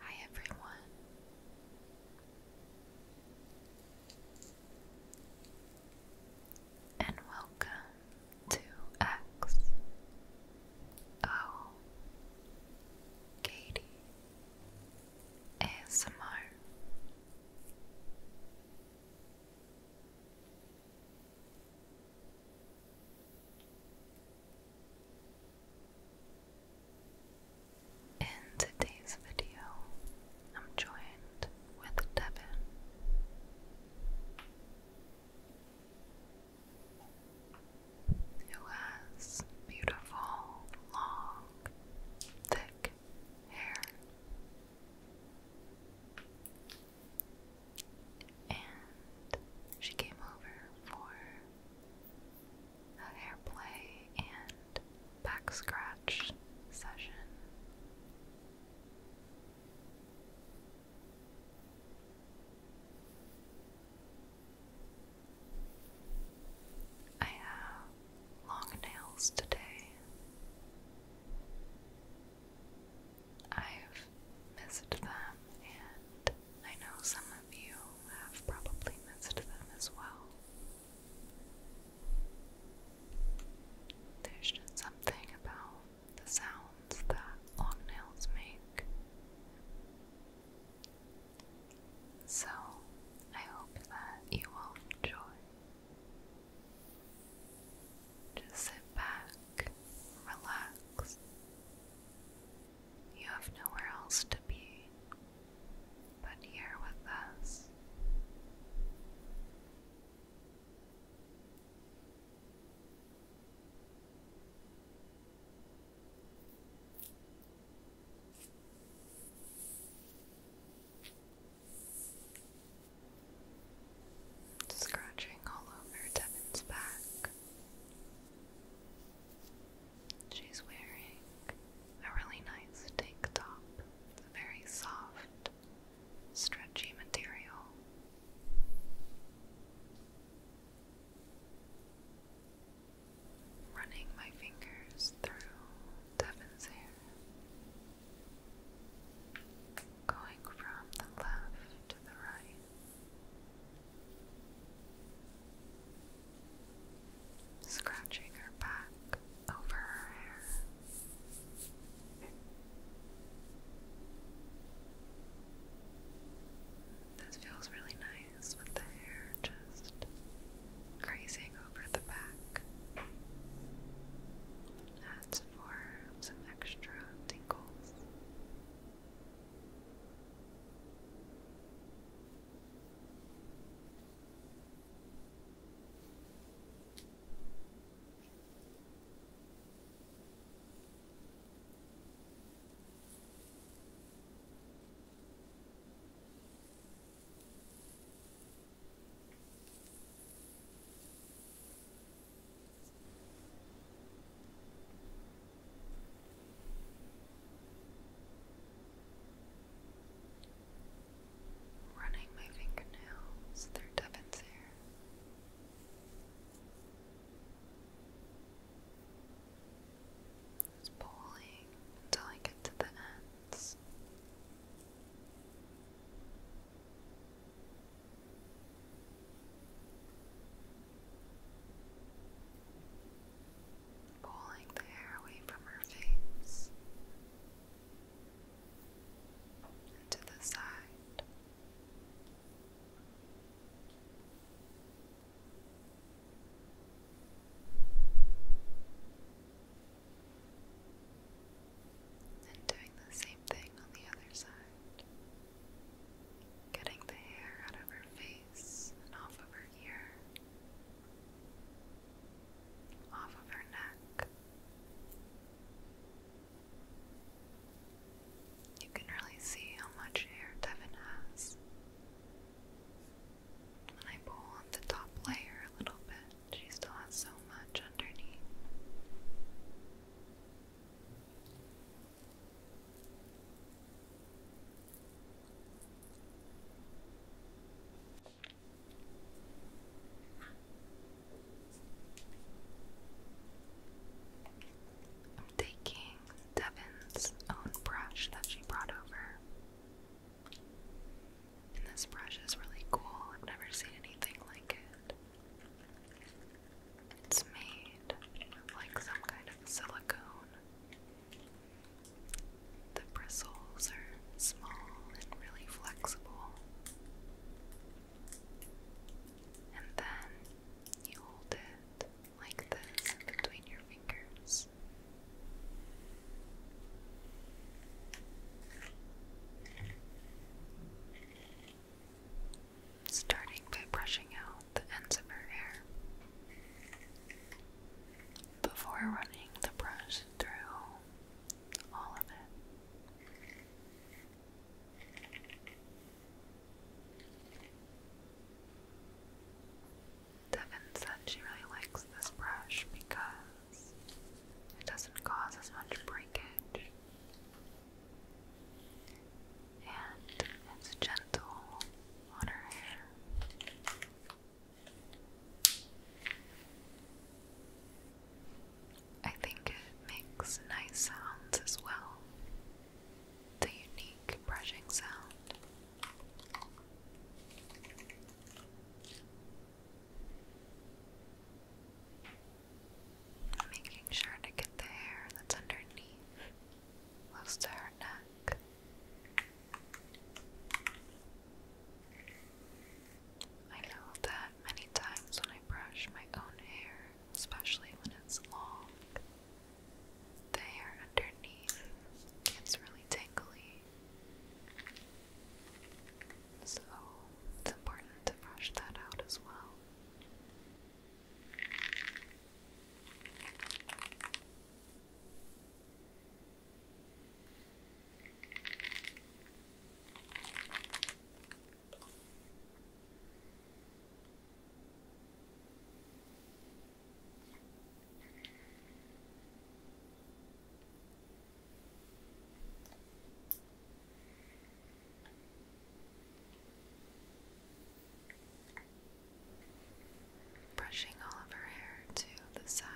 Hi everyone. And welcome to X O oh, Katie ASMR. In today's video, I'm joined with Devin. Who has beautiful, long, thick hair? And she came over for a hair play and back scratch session. I have long nails today. I've missed them, and I know some of you have probably missed them as well. There's just something about the sounds that long nails make. So, I hope that you will enjoy just sit back, relax. You have nowhere else to be but here with us. Scratching all over Devin's back. She's wearing a really nice tank top. It's a very soft, stretchy material. Running my fingers through Devin's hair going from the left to the right. Scratching her back over her hair. This feels really nice with the hair just grazing over the back. That's for some extra tingles. Running my fingernails through Devin's hair. Just pulling until I get to the ends. Pulling the hair away from her face to the side. And doing the same thing on the other side. Getting the hair out of her face and off of her ear, off of her neck. You can really see how much hair Devin has. When I pull on the top layer a little bit, she still has so much underneath. taking Devin's own brush that she brought over this brush is really cool. I've never seen anything like it. It's made with like some kind of silicone. The bristles are small and really flexible. And then you hold it like this between your fingers. Starting by brushing out the ends of her hair. Before running the brush through all of it. Devin said she really likes this brush because it doesn't cause as much breakage. And it's gentle on her hair. I think it makes nice sounds as well. The unique brushing sound. Making sure to get the hair that's underneath, close to her neck. I know that many times when I brush my own hair, especially when it's long, the hair underneath gets really tingly. So it's important to brush that out as well. Brushing all of her hair to the side.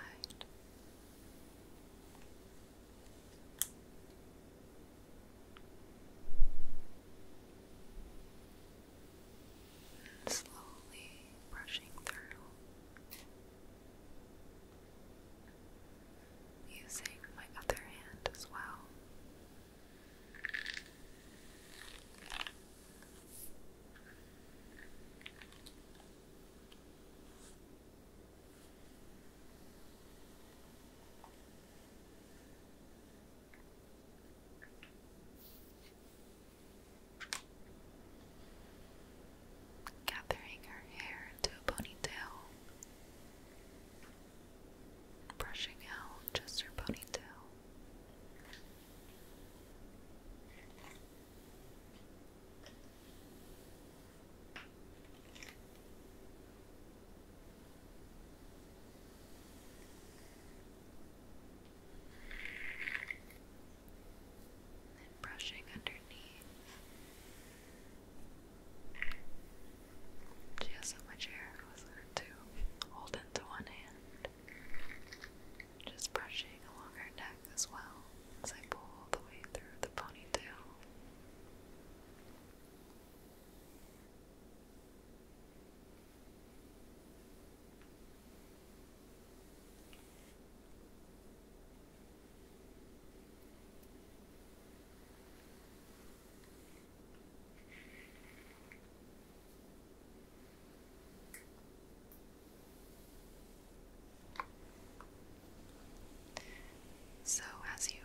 And slowly brushing through using my other hand as well gathering her hair into a ponytail, brushing out just her ponytail brushing underneath. She has so much hair, it was hard to hold into one hand. Just brushing along her neck as well as I pull the way through the ponytail. So, as you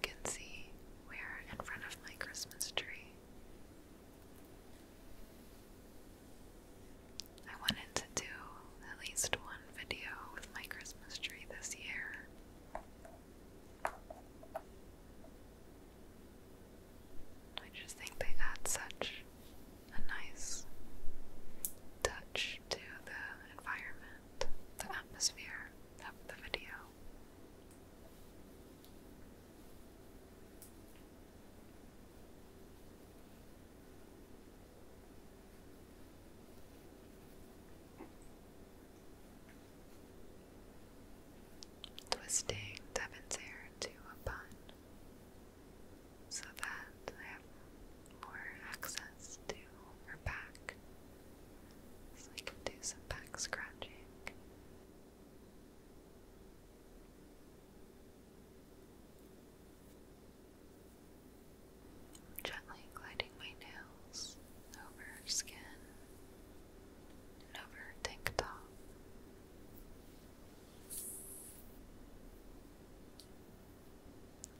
can see, we're in front of my Christmas tree. I wanted to do at least one video with my Christmas tree this year. I just think they add such a nice touch to the environment, the atmosphere of the video. Twisting Devin's hair to a bun so that I have more access to her back. So I can do some back scratching. Gently gliding my nails over her skin and over her tank top.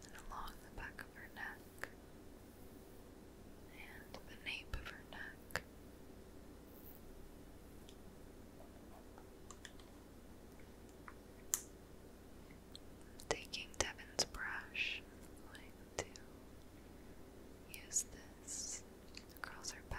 And along the back of her neck and the nape of her neck taking Devin's brush. I'm going to use this across her back.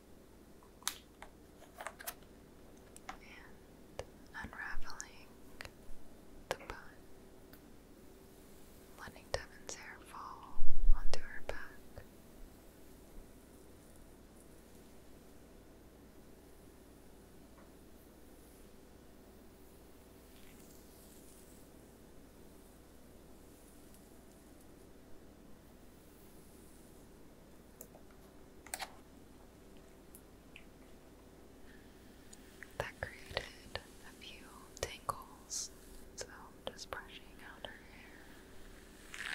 and unraveling the bun, letting Devin's hair fall onto her back. That created a few tangles, so just brushing out her hair.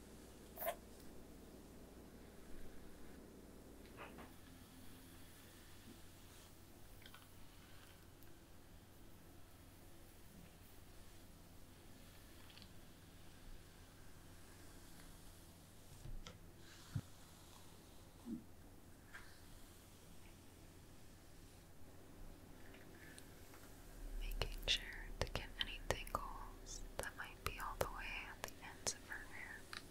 Making sure to get any tangles that might be all the way at the ends of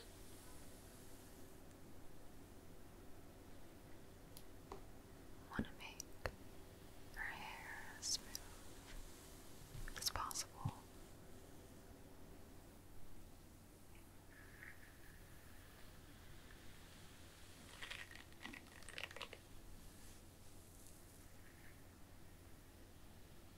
Want to make her hair as smooth as possible.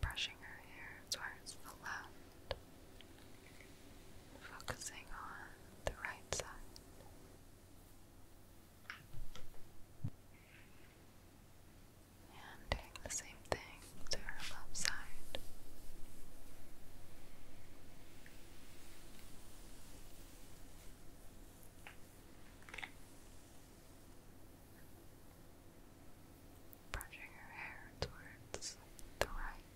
Brushing her hair towards the left focusing on the right side. And doing the same thing to her left side. Brushing her hair towards the right.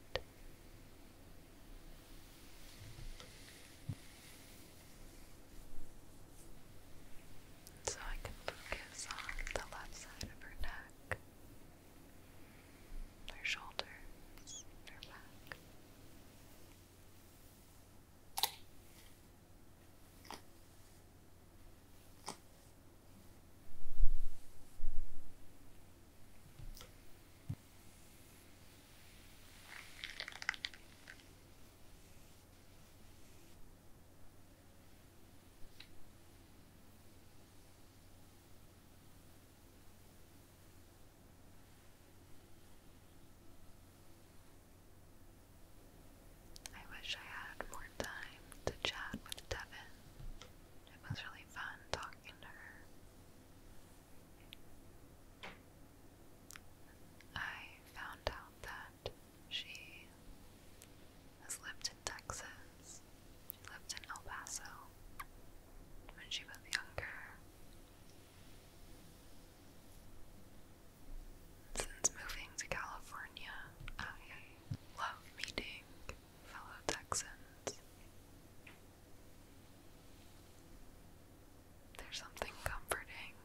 So I can focus on the left side of her neck, her shoulders, her back. I wish I had more time to chat with Devin. It was really fun talking to her. I found out that she has lived in Texas. She lived in El Paso when she was younger. Since moving to California, I love meeting fellow Texans. There's something comforting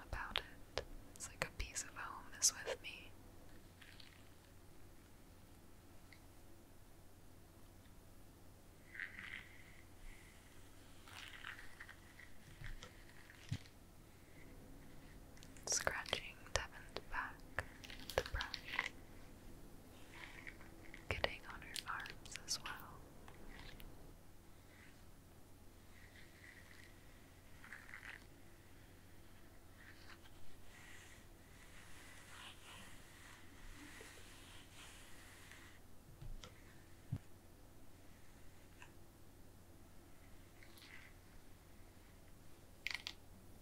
about it. It's like a piece of home is with me. Scratching Devin's back with brush getting on her arms as well.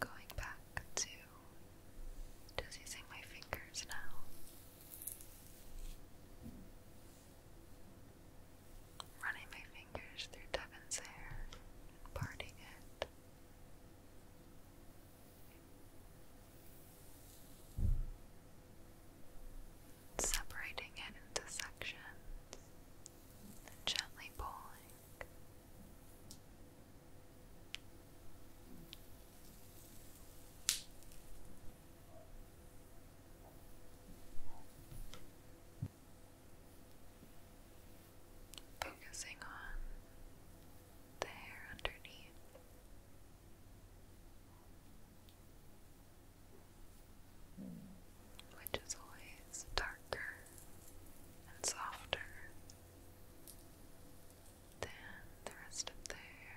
Going back to just using my fingers now. Running my fingers through Devin's hair and parting it separating it into sections and gently pulling. Focusing on the hair underneath. Which is always darker and softer than the rest of the hair.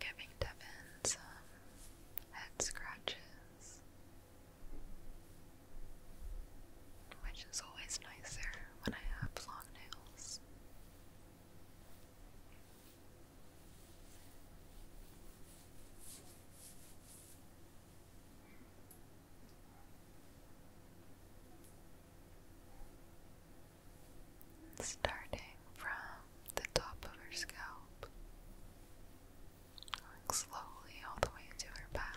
Giving Devin some um, head scratches, which is always nicer when I have long nails starting from the top of her scalp, going slowly all the way to her back.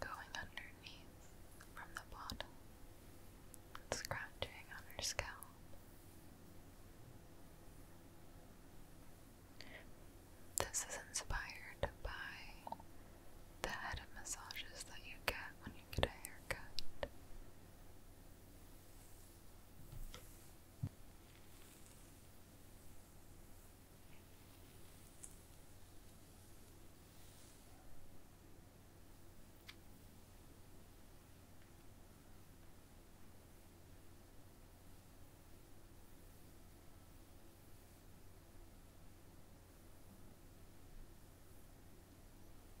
Going underneath from the bottom, scratching on scalp. This is inspired by the head massages that you get when you get a haircut.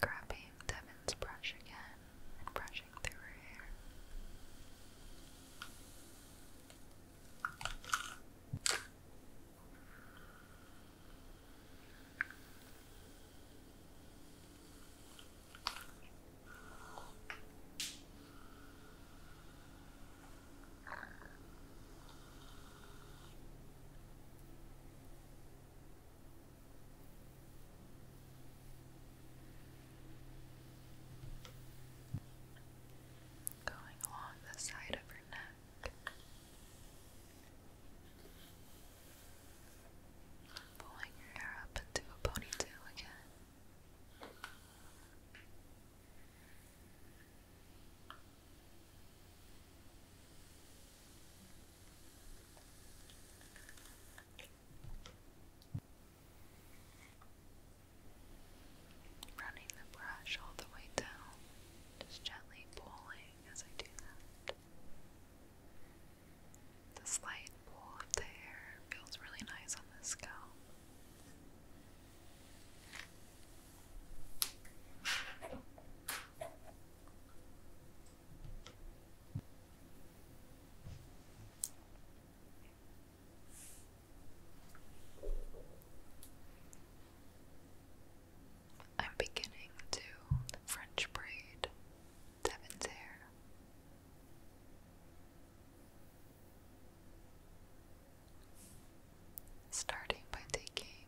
grabbing Devin's brush again and brushing through her hair. Going along the side of her neck. Pulling your hair up into a ponytail again. Running the brush all the way down, just gently pulling as I do that. The slight pull of the hair feels really nice on the scalp. I'm beginning to French braid Devin's hair. Starting by taking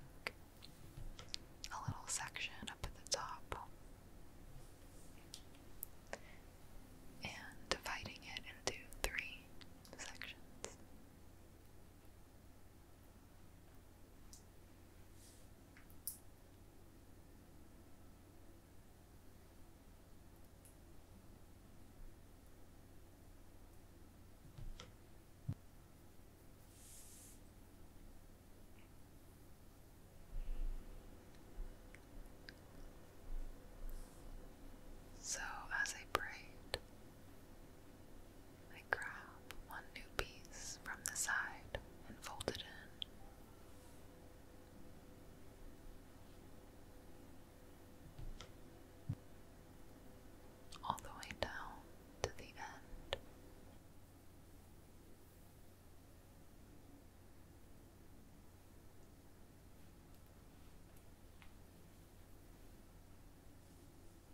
a little section up at the top and dividing it into three sections. So, as I prayed, I grab one new piece from the side and fold it in. All the way down to the end.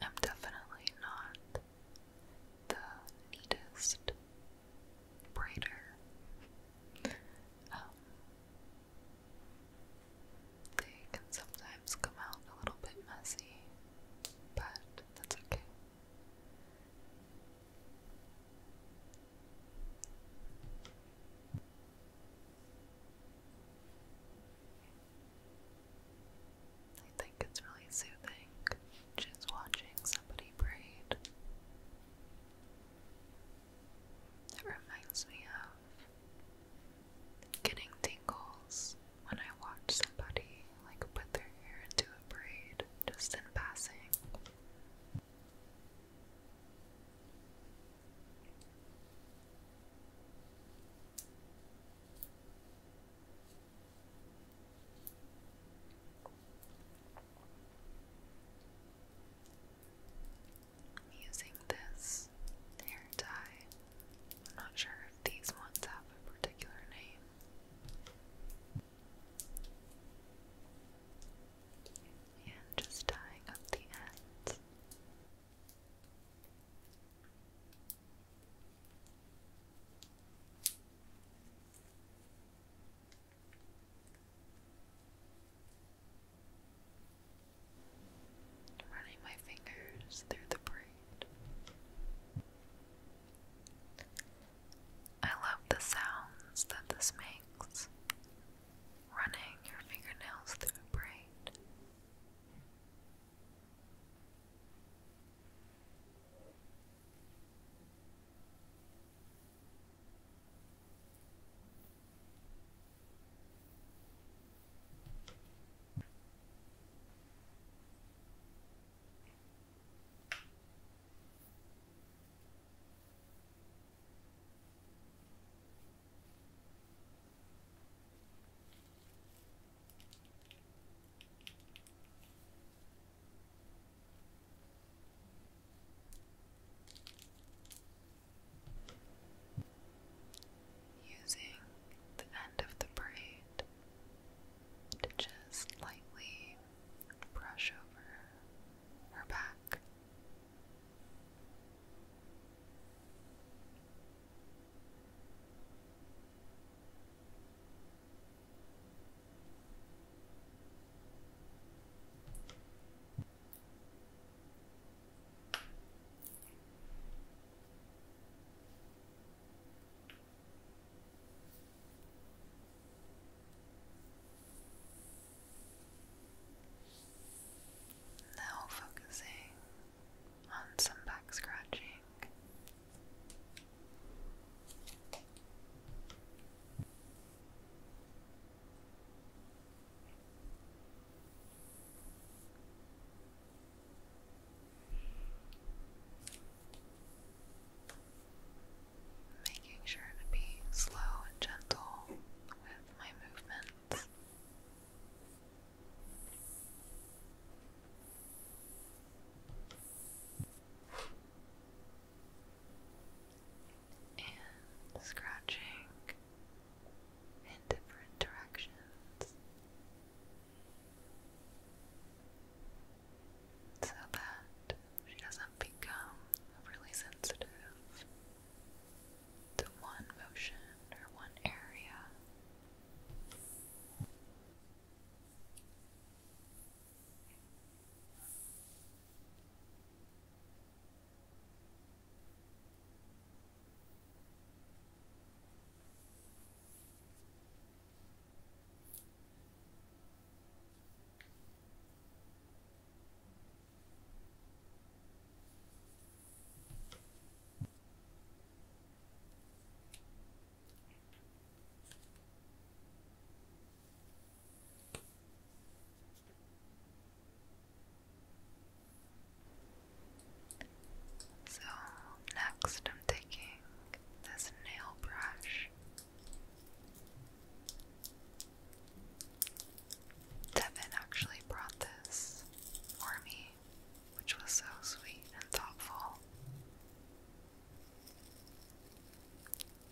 I'm definitely not the neatest braider. Um, they can sometimes come out a little bit messy, but that's okay. I think it's really soothing just watching somebody braid. It reminds me of getting tingles when I watch somebody like put their hair into a braid just in passing using this hair dye. I'm not sure if these ones have a particular name and just tying up the ends. Running my fingers through the braid. I love the sounds that this makes running your fingernails through a braid. Using the end of the braid to just lightly brush over her back. Now focusing on some back scratching. Making sure to be slow and gentle with my movements. And scratching in different directions so that she doesn't become overly sensitive the one motion or one area. So, next, I'm taking this nail brush Devin actually brought this for me, which was so sweet and thoughtful.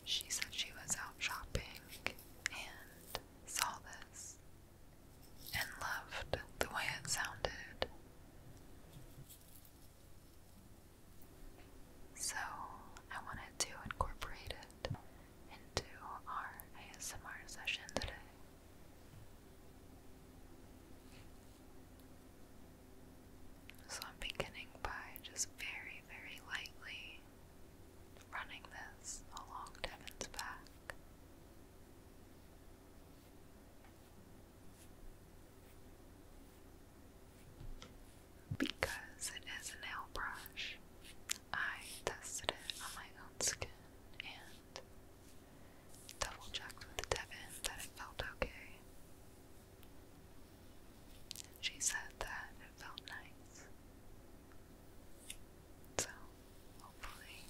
She said she was out shopping and saw this and loved the way it sounded. So I wanted to incorporate it into our ASMR session today. So I'm beginning by just very, very lightly running this along Devin's back. Because it is a nail brush, I tested it on my own skin and double checked with Devin that it felt okay. She said that it felt nice. So, hopefully,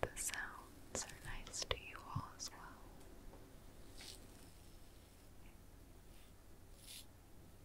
the sounds are nice to you all as well.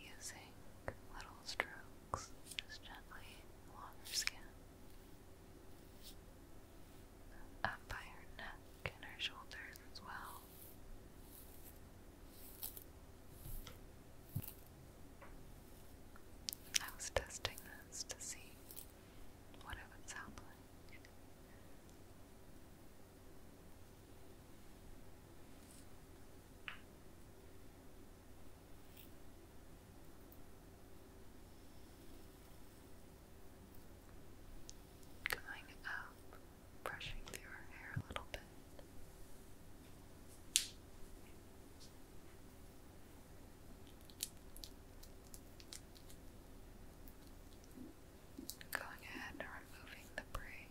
using little strokes just gently along her skin, up by her neck and her shoulders as well. I was testing this to see what it would sound like. Going up, brushing through her hair a little bit. Going ahead removing the braid.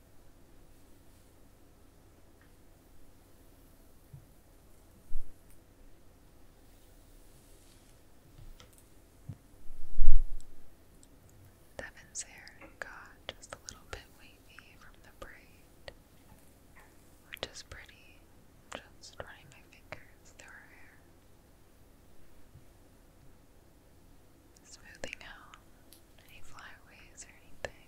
Devin's hair got just a little bit wavy from the braid, which is pretty. just running my fingers through hair. Smoothing out any flyaways or anything.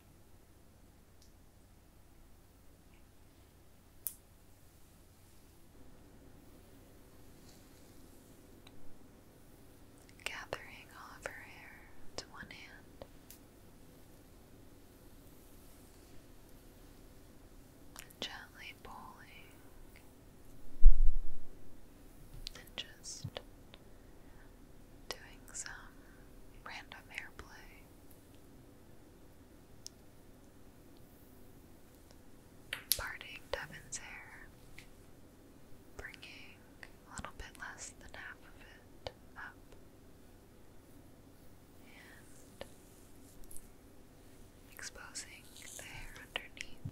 Gathering all of her hair to one hand and gently pulling and just doing some random hair play Parting Devin's hair, bringing a little bit less than half of it up, and exposing the hair underneath.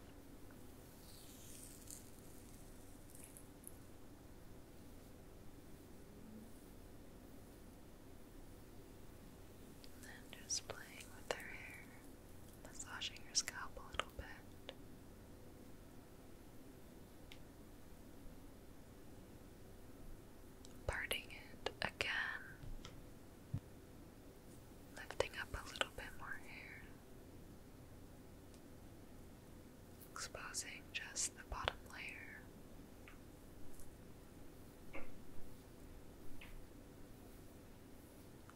And then just playing with her hair, massaging your scalp a little bit. Parting it again, lifting up a little bit more hair, exposing just the bottom layer.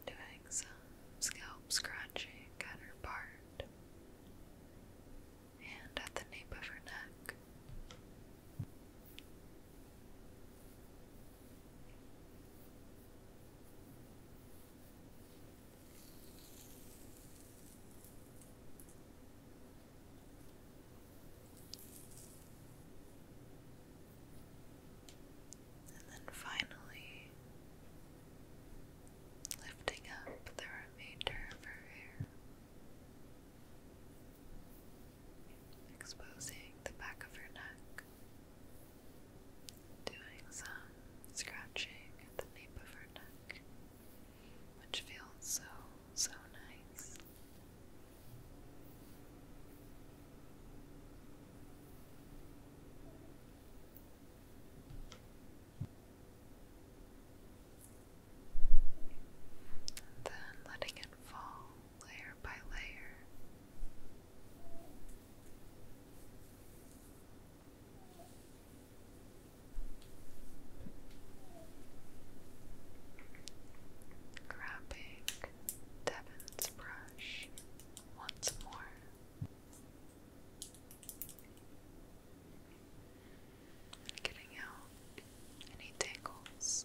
Doing some scalp scratching at her part and at the nape of her neck. And then finally lifting up the remainder of her hair, exposing the back of her neck, doing some scratching at the nape of her neck, which feels so so nice. then letting it fall layer by layer. Grabbing Devon's brush once more. Getting out any tangles.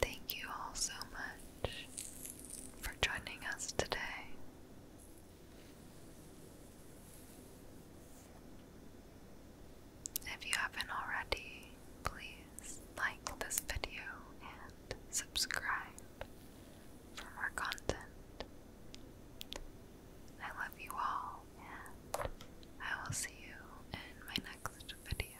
Thank you all so much for joining us today. If you haven't already, please like this video and subscribe for more content. I love you all, and I will see you in my next video.